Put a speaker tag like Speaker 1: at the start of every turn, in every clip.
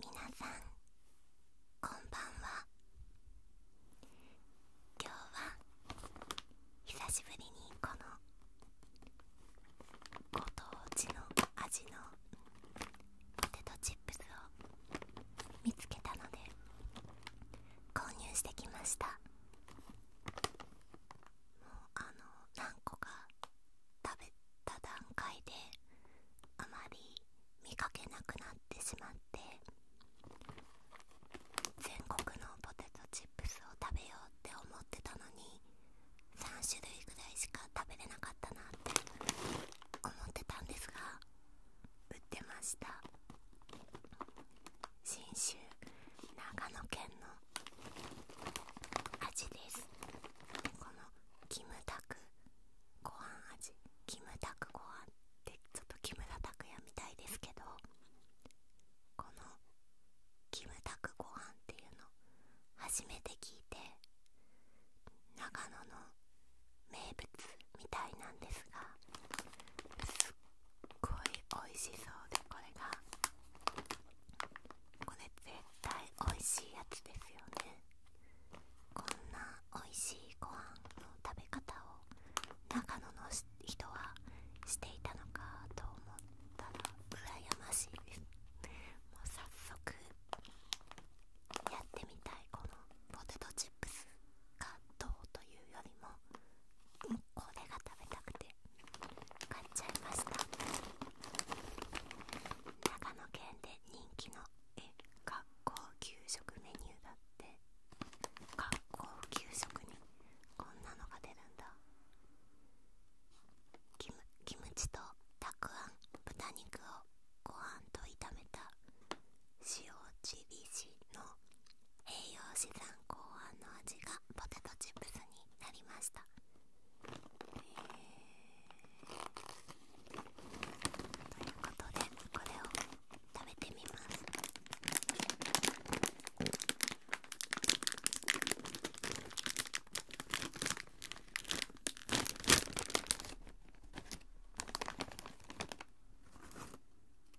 Speaker 1: 皆さんこんばんは今日は久しぶりにこのご当地の味のポテトチップスを見つけたので購入してきましたもうあの何個か食べた段階であまり見かけなくなってしまって全国のポテトチップスを食べようって思ってたのに3種類ぐらいしか食べれなかったなって思ってたんですが売ってました味ですこのキムタクご飯味キムタクご飯ってちょっと木村拓哉みたいですけどこのキムタクご飯っていうの初めて聞いて長野の名物みたいなんですがすっごい美味しそうでこれがこれ絶対美味しいやつですよねこんな美味しいご飯の食べ方を長野の人はしていたのかと思ったら羨ましいですもう早速やってみたいこのポテトチップスがどうというよりもこれが食べたくて買っちゃいました長野県で人気のえ学校給食メニューだって学校給食にこんなのが出るんだキムチとたくあん豚肉をご飯と炒めた塩チリシの栄養士さん考案の味がポテトチップスになりました、ということでこれを食べてみます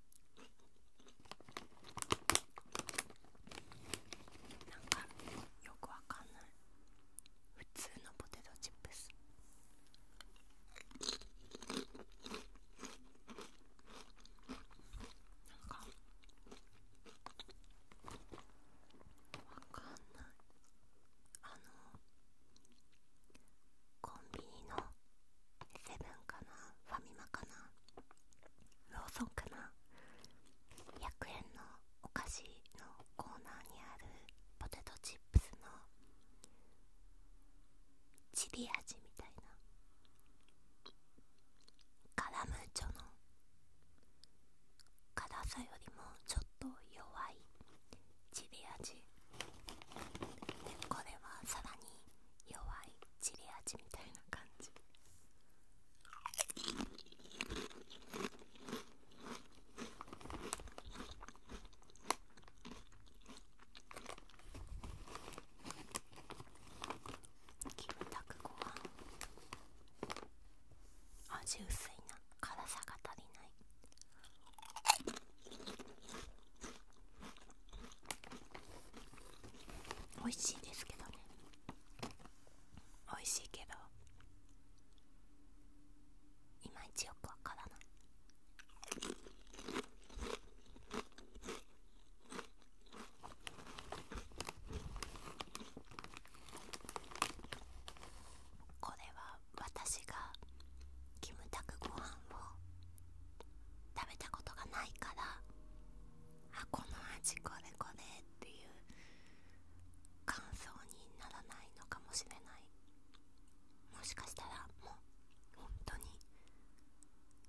Speaker 1: なんかよくわかんない普通のポテトチップスなんかわかんないあのコンビニのセブンかなファミマかなローソンかな100円のお菓子のコーナーにあるポテトチップスのチリ味みたいなカラムーチョの辛さよりもちょっと弱いチリ味でこれはさらに弱いチリ味みたいな感じキムタクごはん。味薄いな辛さが足りない美味しいですけどね美味しいけどいまいちよくわからないこれは私がキムタクご飯を食べたことがないからあこの味これこれっていう感想にならないのかもしれないもしかしたらもう本当に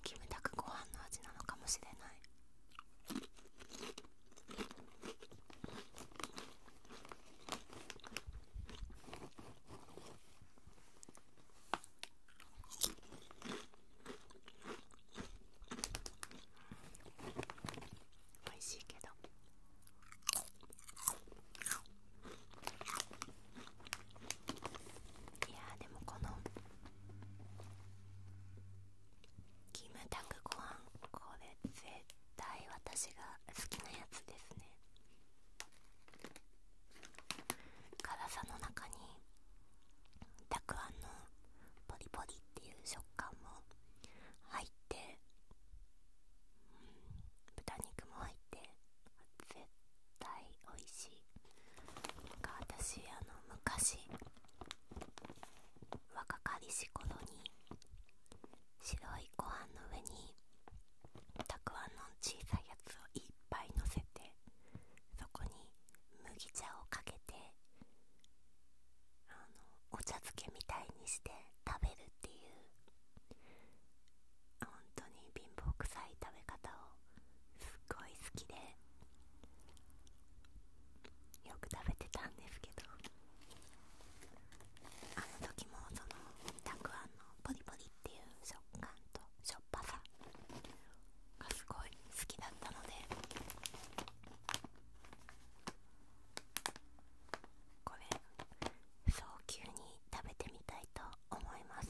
Speaker 1: キムタクご飯の味なのかもしれない美味しいけどいやーでもこのキムタクご飯これ絶対私が好きなやつですね辛さの中にたくあんのポリポリっていう食感も入って、豚肉も入って絶対おいしいなか私あの昔若かりし頃に白いご飯の上にたくあんの小さいやつをいっぱいのせてそこに麦茶をかけてあのお茶漬けみたいにして食べるっていう本当に貧乏くさい食べ方をすっごい好きでよく食べてたんですけどあの時もそのたくあんのポリポリっていう食感としょっぱさがすごい好きだったのでこれ早急に食べてみたいと思います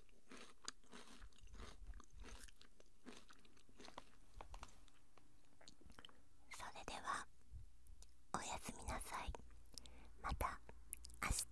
Speaker 1: それではおやすみなさいまた明日